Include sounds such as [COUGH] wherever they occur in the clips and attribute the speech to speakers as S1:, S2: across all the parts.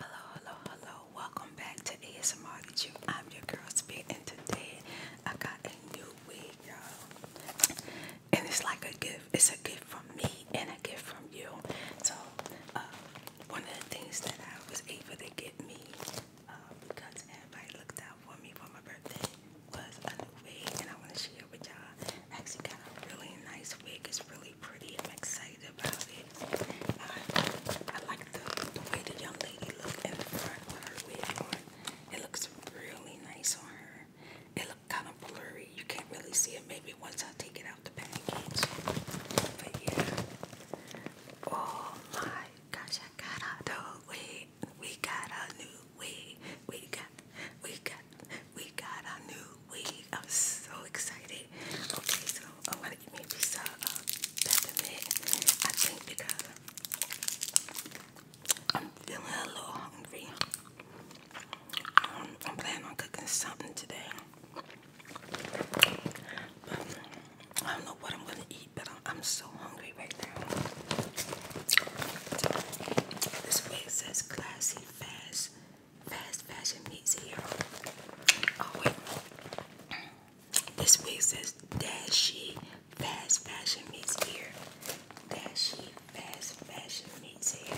S1: Hello, hello, hello. Welcome back to ASMR I'm your girl Spit and today I got a new wig, y'all. And it's like a gift. It's a gift from me and a gift from you. So uh, one of the things that I was able to get me uh, because everybody looked out for me for my birthday was a new wig and I want to share with y'all. actually got a really nice wig. It's really pretty. I'm excited about it. I, like the, the way the young lady looked in the front with her It looks really nice on her. It looked kind of blurry. You can't really see it. Maybe once I take it out the package. But yeah. Oh my gosh, I got out the We got a new wig. We got, we got, we got a new weed. I'm so excited. Okay, so I want to give me a piece uh, I think because I'm feeling a little hungry. Um, I'm planning on cooking something today. Um, I don't know what I'm gonna eat, but I'm, so hungry right now. This way says classy, fast, Fast Fashion Meets here. Oh, wait. This wig says Dashy Fast Fashion Meets Here. Dashy Fast Fashion Meets Here.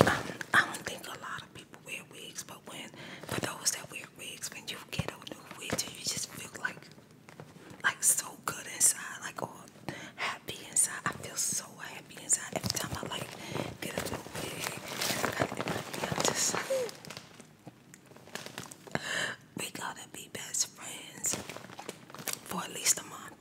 S1: Um, I don't think a lot of people wear wigs, but when for those that wear the when you get on new wigs you just feel like like so good inside like all happy inside I feel so happy inside every time I like get a new wig i just like we got be best friends for at least a month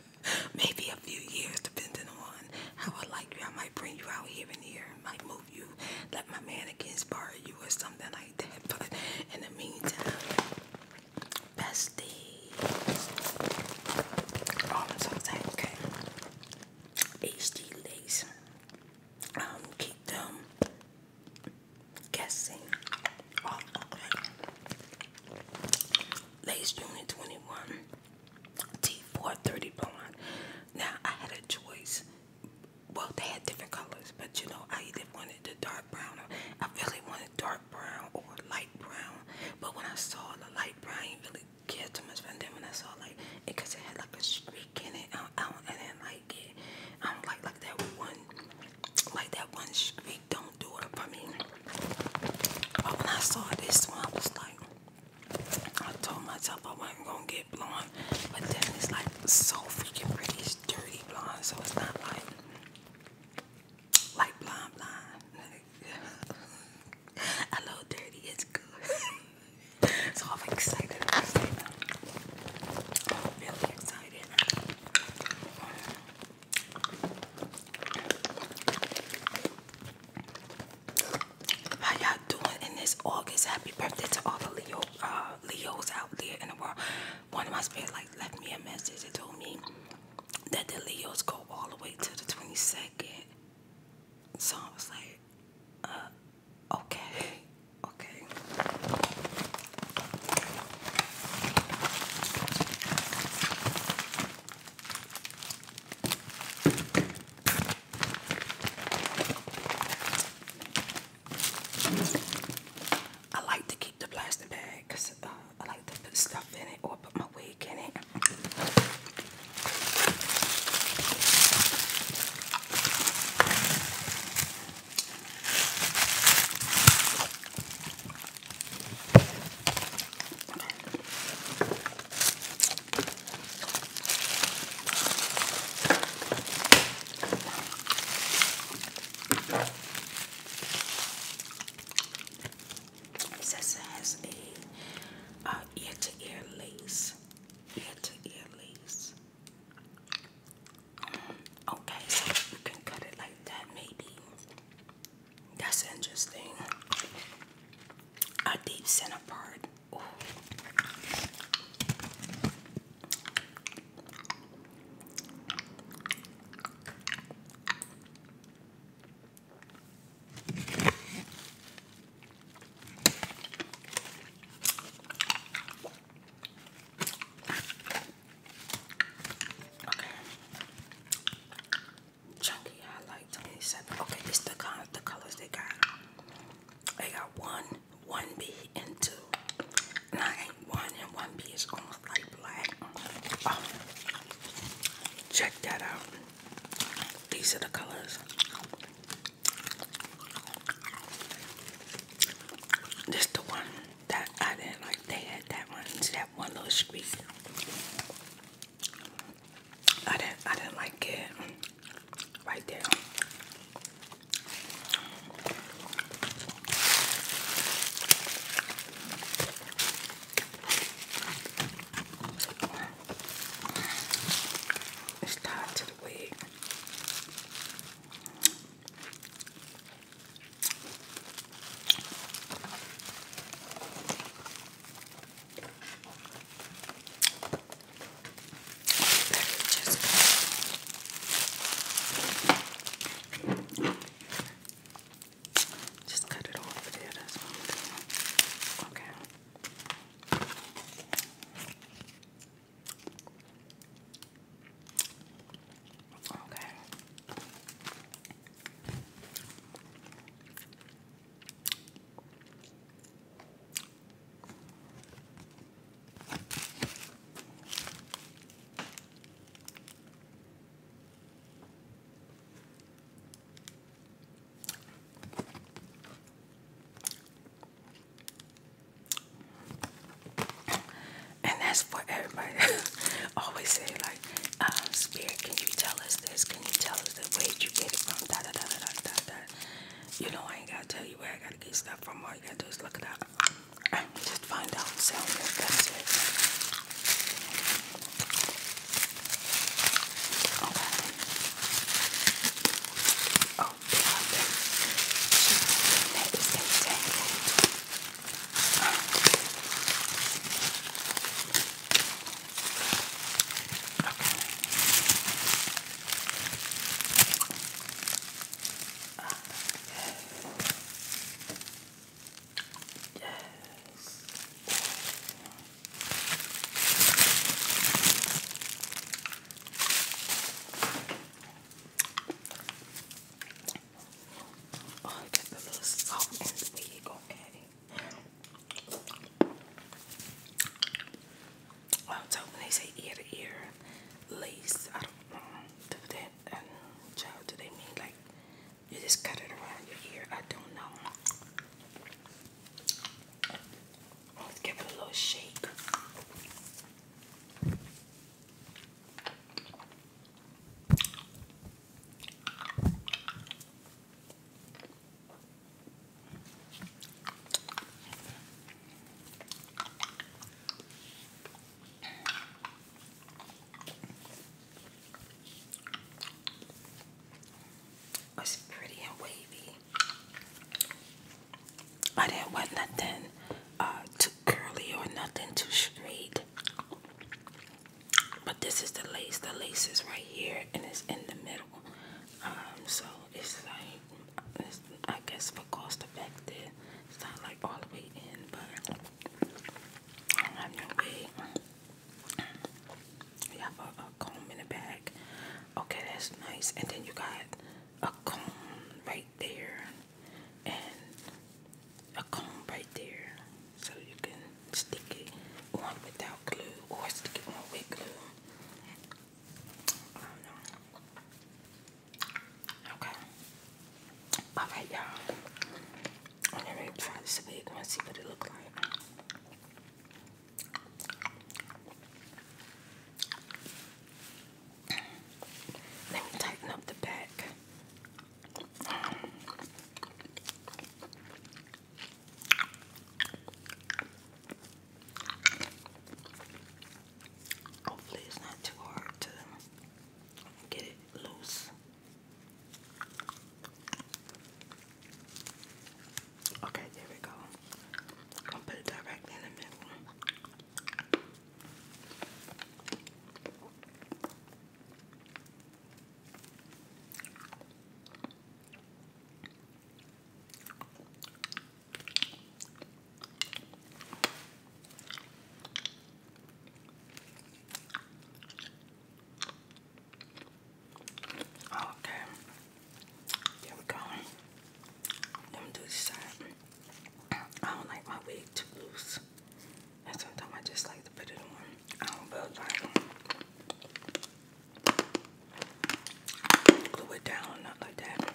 S1: [LAUGHS] maybe a few years depending on how I like you I might bring you out here and here might you, let my mannequins borrow you or something like that. [LAUGHS] But in the meantime, bestie. Oh, I'm so excited. Okay. HD lace. Um, keep them guessing. Oh, okay. Lace Unit 21. T430 blonde. Now I had a choice well they had different colors but you know I either wanted the dark brown or I really wanted dark brown or light brown but when I saw the light brown I didn't really care too much and then when I saw like cause it had like a streak in it I don't, I do not like it I don't like like that one like that one streak don't do it for me but when I saw this one I was like I told myself I wasn't gonna get blonde but then it's like so freaking pretty. It's dirty blonde, so it's not like like blonde blonde. [LAUGHS] A little dirty it's good. [LAUGHS] so I'm excited. I'm really excited. How y'all doing in this August? Happy birthday to all the Leo uh, Leos out there in the world. One of my spirits like left me a message and told me that the Leos go all the way to the 22nd. So I was like, uh, okay, [LAUGHS] okay. I like to keep the plastic bag because uh, I like to put stuff in it or put my wig in it. This has a ear to ear lace. Ear to ear lace. Okay, you can cut it like that, maybe. That's interesting. A deep center part. Okay. Chunky, I like 27. Okay, it's the colors they got. I got one, one B, and two. one, and one B is almost like black. Um, check that out. These are the colors. This the one that I didn't like. They had that one. See that one little streak. I didn't. I didn't like it right there. It's tied to the wig. Let me just cut Just cut it off there, that's what I'm doing. Okay. Okay. And that's for everybody. [LAUGHS] Always say like, um, Spirit, can you tell us this? Can you tell us the way you get it from? Da da da da da da da. You know I ain't gotta tell you where I gotta get stuff stuff from all you gotta do is look at that, and just find out Okay. Oh, they are there. That is Okay. Up. Yes. Oh, I got the little salt and wig, okay. I'm talking when they say ear to ear lace. I don't know do that. And child, do they mean like you just cut it around your ear? I don't know. Let's give it a little shake. It's pretty and wavy. I didn't want nothing uh, too curly or nothing too straight. But this is the lace. The lace is right here and it's in the middle. Um, so it's like I guess for cost effective. It's not like all the way in, but I have have a, comb in the back. Okay, that's nice. And then you got a comb right there, and a comb right there, so you can stick it on without glue or stick it with glue. Okay. All right, y'all. I'm gonna try this a big one, see what it look like. Let me tighten up the back. Hopefully it's not too hard to get it loose. Okay, there we go. I'll put it directly in the middle. Oh, okay, there we go. Let me do this side. I don't like my wig too loose, and sometimes I just like to put it on. I don't really glue it down, not like that.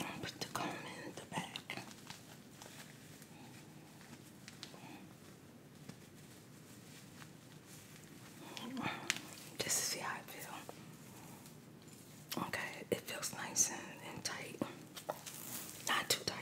S1: I'll put the comb in the back. Just see how I feel. Okay, it feels nice and, tight. Not too tight.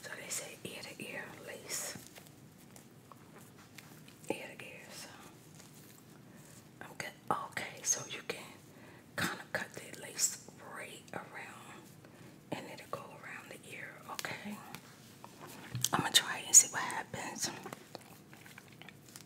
S1: So they say ear to ear lace. Ear to ear, so I'm Okay, so you can kind of cut that lace right around and it'll go around the ear, okay? I'm gonna try and see what happens.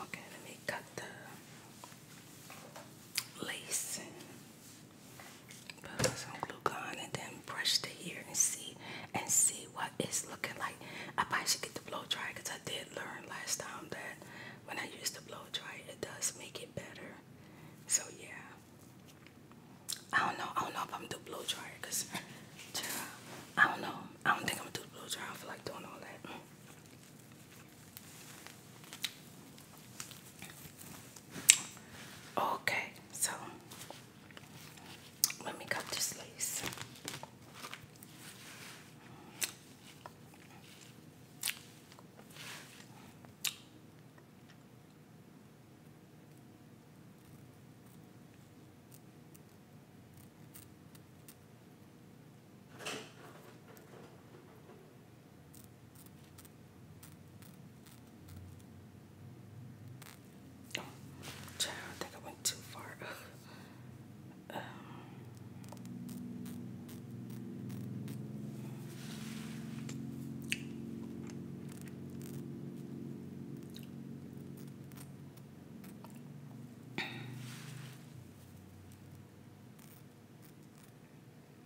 S1: Okay, let me cut the lace Put some glue gun and then brush the hair and see and see what it's looking like. I probably should get the blow dry because I did learn last time that when I use the blow dry, it does make it better. So yeah. I don't know. I don't know if I'm gonna do blow dryer because I don't know. I don't think I'm gonna do blow dry. I feel like doing all that. Okay, so let me cut this lace. Oh, child, think I went too far. [LAUGHS] um,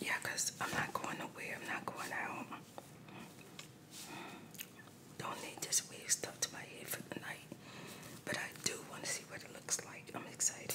S1: Yeah, I'm not going to nowhere, I'm not going out. Don't need this weird stuff to my head for the night, but I do want to see what it looks like. I'm excited.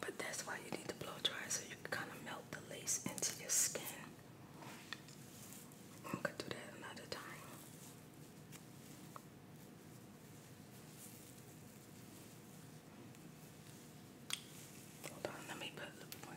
S1: But that's why you need to blow dry so you can kind of melt the lace into your skin. I could do that another time. let me put a little more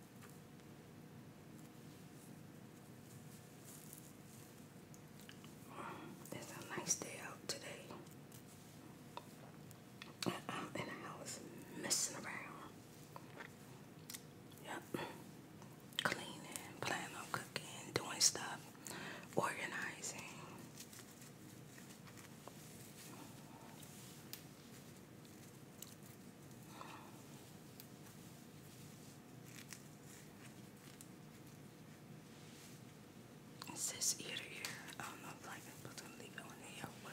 S1: It's a nice day out today. Uh-uh, and I'm messing around. Yep. Cleaning, planning on cooking, doing stuff, organizing. It this ear to ear. I don't know if I leave it on here or what.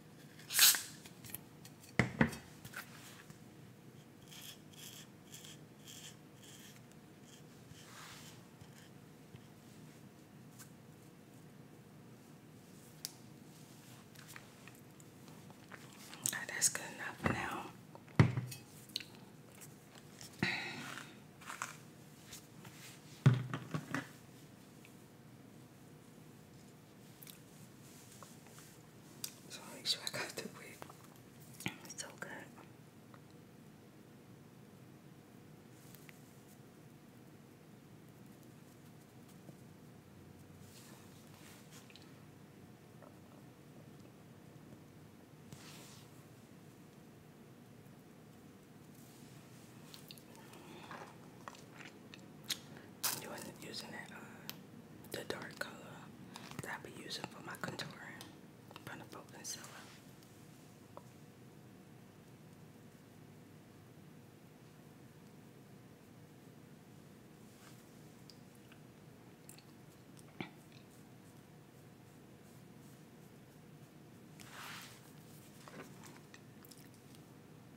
S1: Right, that's good enough now. So i make sure I got the wig. so good. Doing using that uh, the dark color that I be using for my contouring from the Folk and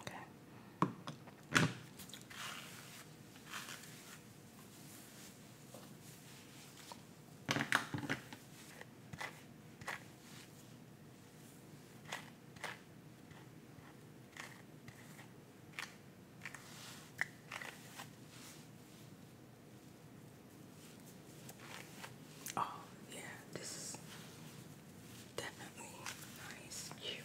S1: Okay. Oh, yeah, this Definitely nice, cute.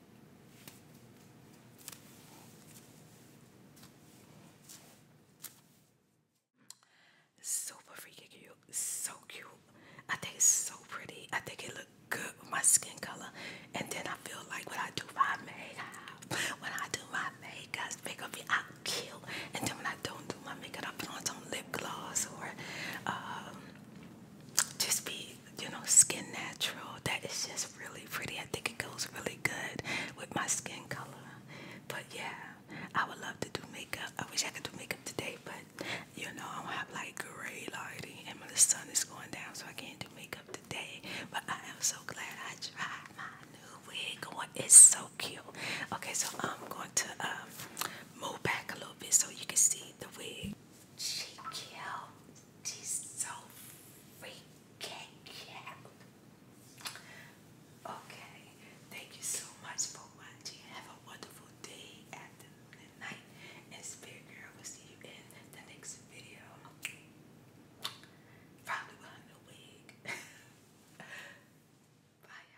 S1: Super freaking cute. So cute. I think it's so pretty. I think it looks good with my skin color. And then I feel like when I do my makeup, when I do my makeup, it's gonna cute. And then when I don't do my makeup, I put on some lip gloss or um, just be you know, Skin Natural. That is just really pretty. I think it goes really good with my skin color. But yeah, I would love to do makeup. I wish I could do makeup today, but you know, I am have like gray lighting and the sun is going down, so I can't do makeup today. But I am so glad I tried my new wig. Oh, it's so cute. Okay, so I'm going to um, move back a little bit so you can see the wig. She cute tastes so freaking cute. Okay, thank you so much for watching. Have a wonderful day, afternoon, night. And Spirit Girl will see you in the next video. Probably behind the wig. Bye,